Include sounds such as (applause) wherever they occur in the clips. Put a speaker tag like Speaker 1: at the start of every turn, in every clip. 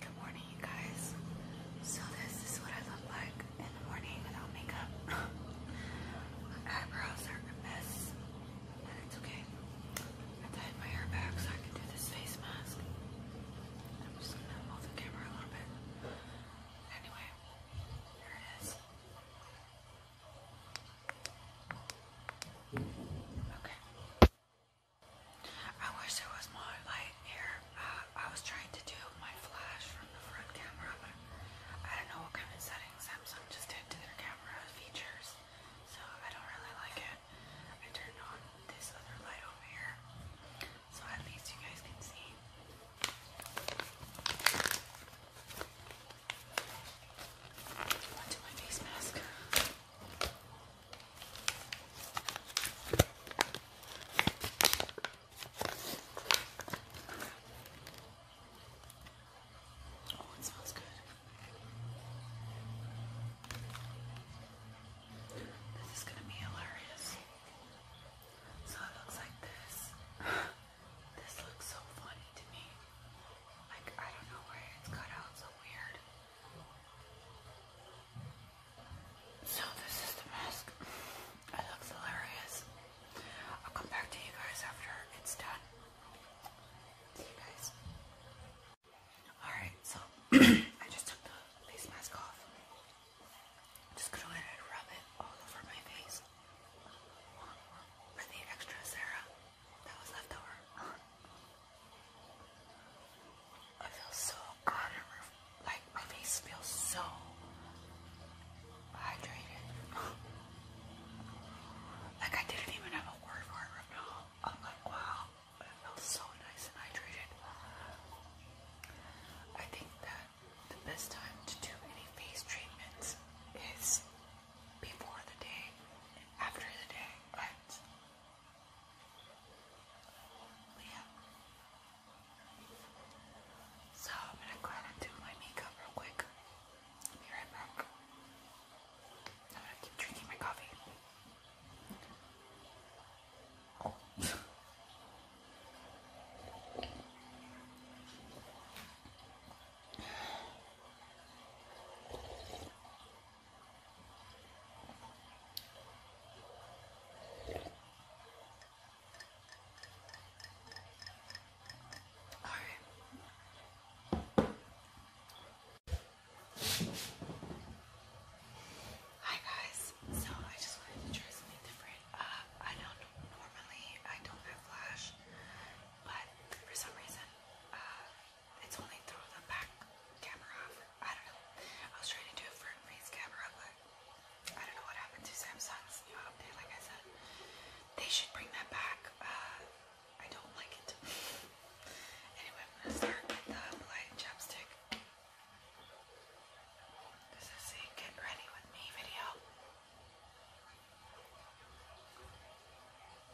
Speaker 1: Good morning, you guys. So this is what I look like in the morning without makeup. my (laughs) eyebrows are a mess, but it's okay. I tied my hair back so I can do this face mask. I'm just gonna hold the camera a little bit. Anyway, here it is. Okay. I wish there was more light here. Uh, I was trying to do my flash from the front camera, but I don't know what kind of settings Samsung just did to their camera features, so I don't really like it. I turned on this other light over here, so at least you guys can see. Onto my face mask. Oh, it smells good. This is going to be hilarious. So it looks like this. this looks so funny to me. Like, I don't know why it's cut out so weird. So this is the mask. It looks hilarious. I'll come back to you guys after it's done. See you guys. Alright, so (clears throat) I just took the face mask off. just gonna let it rub it all over my face. For the extra Sarah that was left over. I feel so honored. Like my face feels so hydrated. (laughs) like I didn't even have a word for right now. I'm like, wow, it feels so nice and hydrated. I think that the best time to do any face treatments is before the day after the day. But yeah. So I'm gonna go ahead and do my makeup real quick. be right back. I'm gonna keep drinking my coffee. Oh. (laughs) Alright. Hi guys. So I just wanted to try something different. Uh, I don't normally I don't have flash, but for some reason, uh, it's only through the back camera. I don't know. I was trying to do it for a face camera, but I don't know what happened to Samsung's new update. Like I said, they should bring that back. Uh, I don't like it. (laughs) anyway, I'm gonna start with the light chapstick. This is a get ready with me video.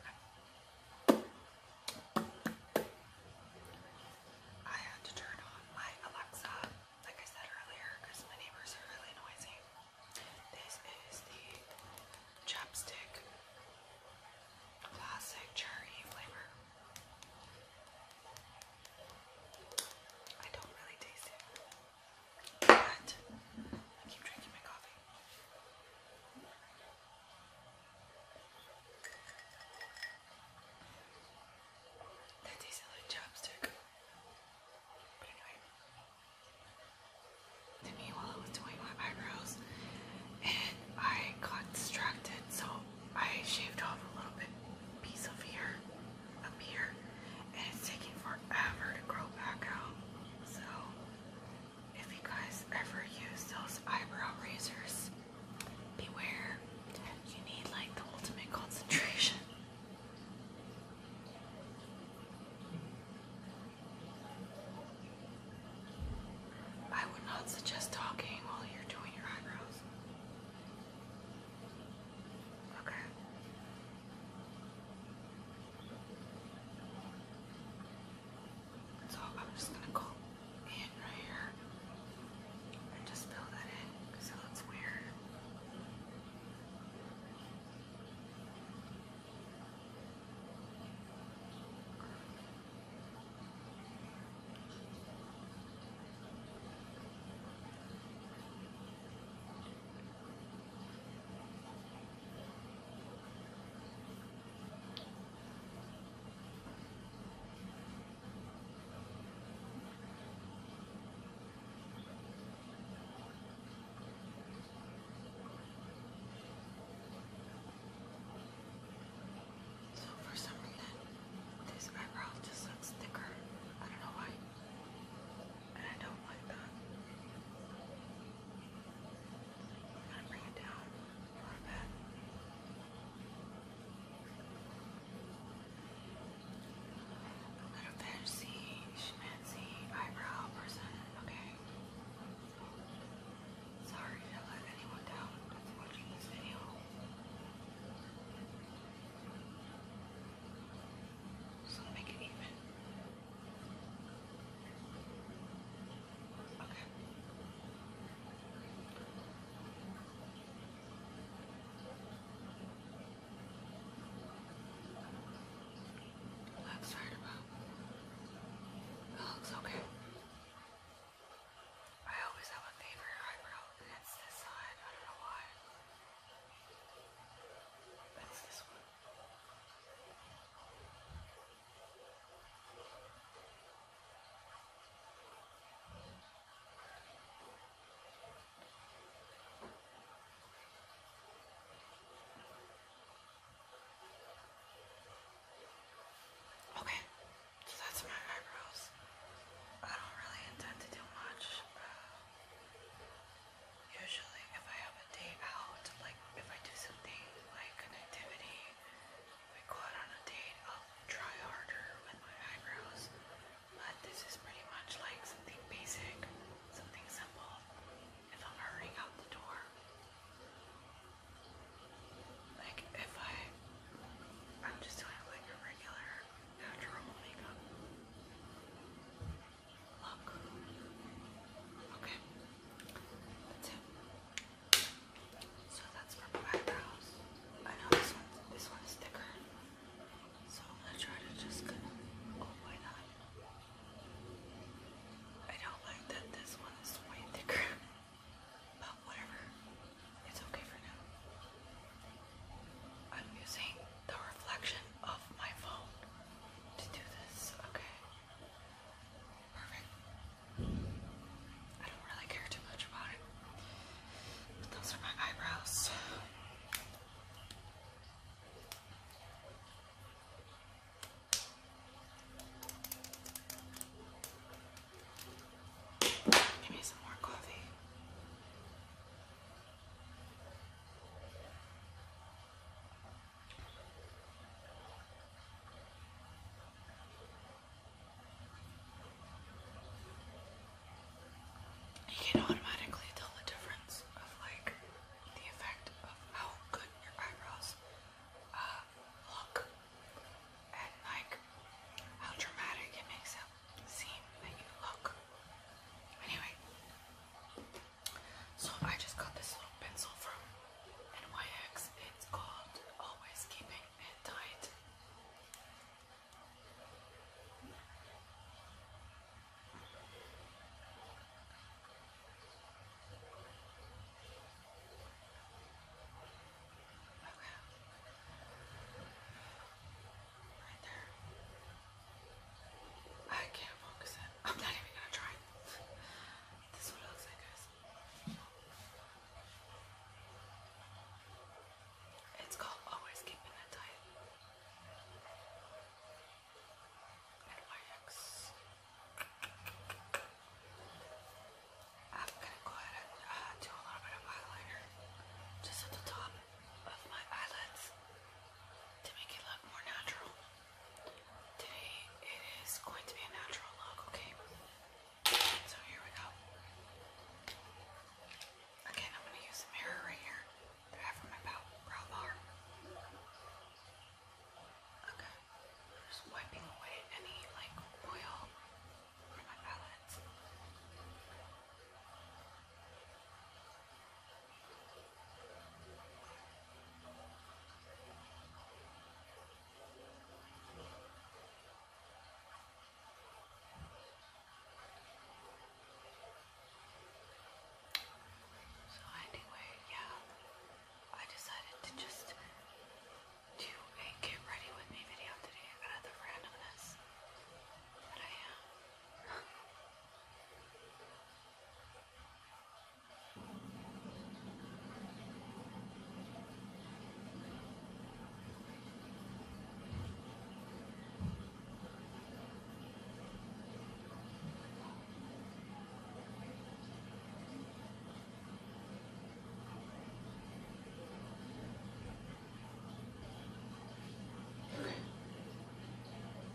Speaker 1: Okay. I had to turn on my Alexa, like I said earlier, because my neighbors are really noisy. This is the chapstick classic cherry flavor. I don't really taste it, but I keep drinking my coffee. That tasted like chopstick. But anyway. To I was doing my eyebrows and I got distracted so I shaved off a little bit piece of here up here and it's taking forever to grow back out. So if you guys ever use those eyebrow razors, Beware, you need like the ultimate concentration. I would not suggest talking while you're doing your eyebrows. Okay. So I'm just gonna go in right here and just fill that in because it looks weird. So for some reason, this eyebrow just looks thicker. I don't know why. And I don't like that. I'm bring it down. Little fancy, schmancy eyebrow person, okay? Sorry to let anyone down watching this video. So make it even. Looks right about. It looks okay. I always have a favorite eyebrow, and it's this side. I don't know why. That's this one. Okay, so that's my eyebrows. I don't really intend to do much. usually, if I have a day out, like if I do something like connectivity we quote on a date, I'll try harder with my eyebrows, but this is pretty much like something basic, something simple, if I'm hurrying out the door. Like if I, I'm just doing like a regular natural makeup look. Okay, that's it. So that's purple eyebrows. I know this one this one is thicker. So I'm gonna try to just kind of oh why not? I don't like that this one is way thicker. (laughs) But whatever. It's okay for now. I'm using the reflection of my phone to do this, okay? Perfect. I don't really care too much about it. But those are my eyebrows. Give me some more coffee. You can automatically tell the difference of like the effect of how good your eyebrows uh, look and like how dramatic it makes it seem that you look. Anyway, so I just got this little pencil from NYX. It's called Always Keeping and died. Okay. Right there. I can't focus I'm not even gonna try. this is what it looks like, guys. It's called Always Keeping a Diet. NYX. I'm gonna go ahead and uh, do a little bit of eyeliner just at the top of my eyelids to make it look more natural. Today it is going to be a natural look, okay? So here we go. Again, I'm going to use the mirror right here that I have for my brow bar. Okay. Just wiping away any like oil from my palette. Okay. So anyway, yeah, I decided to just do a get ready with me video today out randomness that I am. (laughs)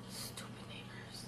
Speaker 1: Stupid neighbors.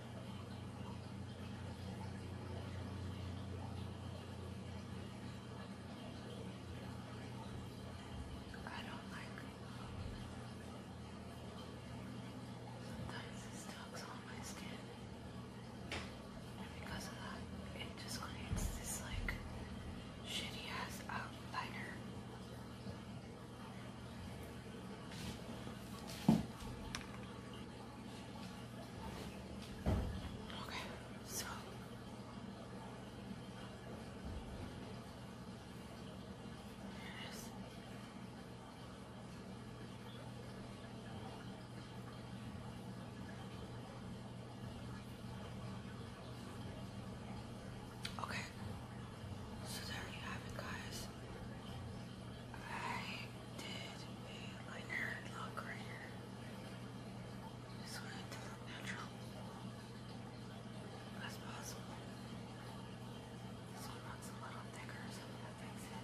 Speaker 1: I don't like sometimes it sticks on my skin and because of that it just creates this like shitty ass outliner Okay, so here it is. Okay, so there you have it, guys. I did a liner look right here. Just wanted to look natural as possible. This one looks a little thicker, so that makes it.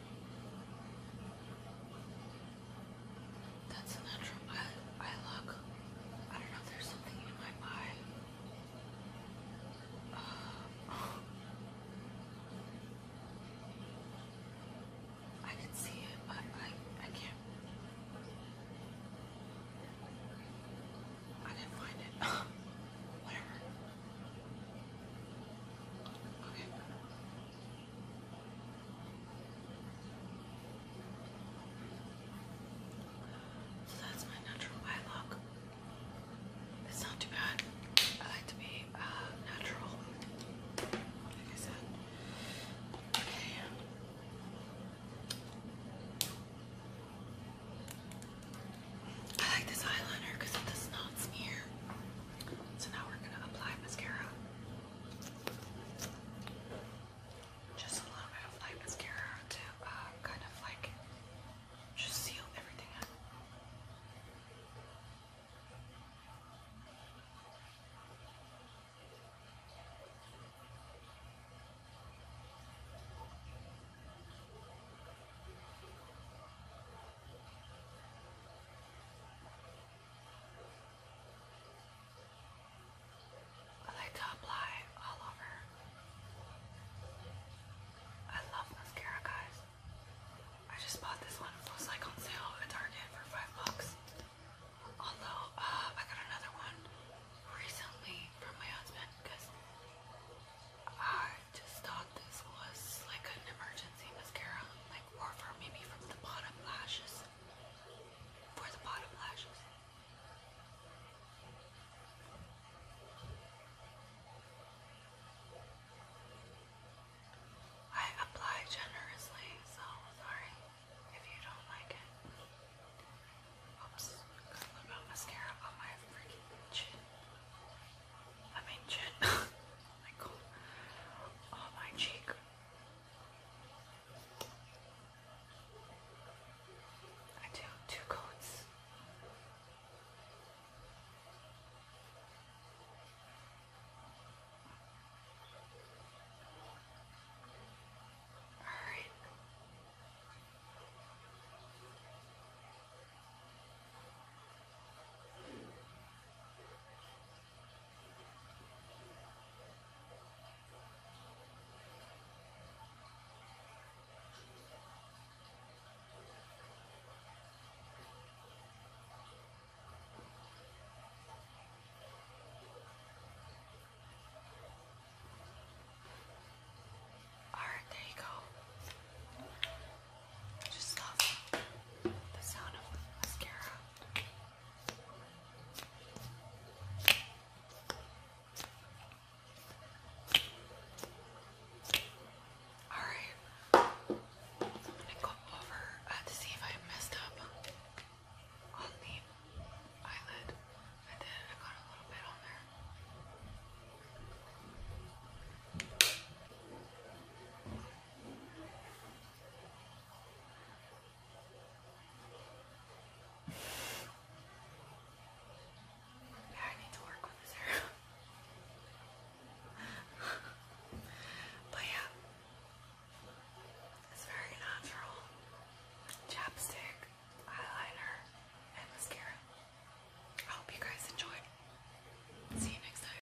Speaker 1: That's a natural eye, eye look. I don't know there's something in my eye. Uh, I can see it, but I I can't. I didn't find it. (laughs) Whatever. Okay. So that's my natural eye look. It's not too bad. I like to be uh, natural, like I said. Okay. I like this eyeliner because it does not smear. So now we're going to apply mascara. Just a little bit of light mascara to uh, kind of like just seal everything up. I like to apply all over. I love mascara, guys. I just bought this one. It was like on sale at Target for five bucks. Although uh, I got another one recently from my husband because I just thought this was like an emergency mascara or from maybe from the bottom lashes. For the bottom lashes. I apply generously, so sorry if you don't like it. Oops, got a mascara on my freaking chin. I mean chin. (laughs) oh my god. Oh my cheek. I do two coats. All right. Alright, there you go. I just love the sound of mascara. Alright, I'm gonna go over uh, to see if I messed up on the eyelid. I did, I got a little bit on there. Yeah, I need to work with this (laughs) but yeah, it's very natural. Chapstick, eyeliner, and mascara. I hope you guys enjoyed. See you next time.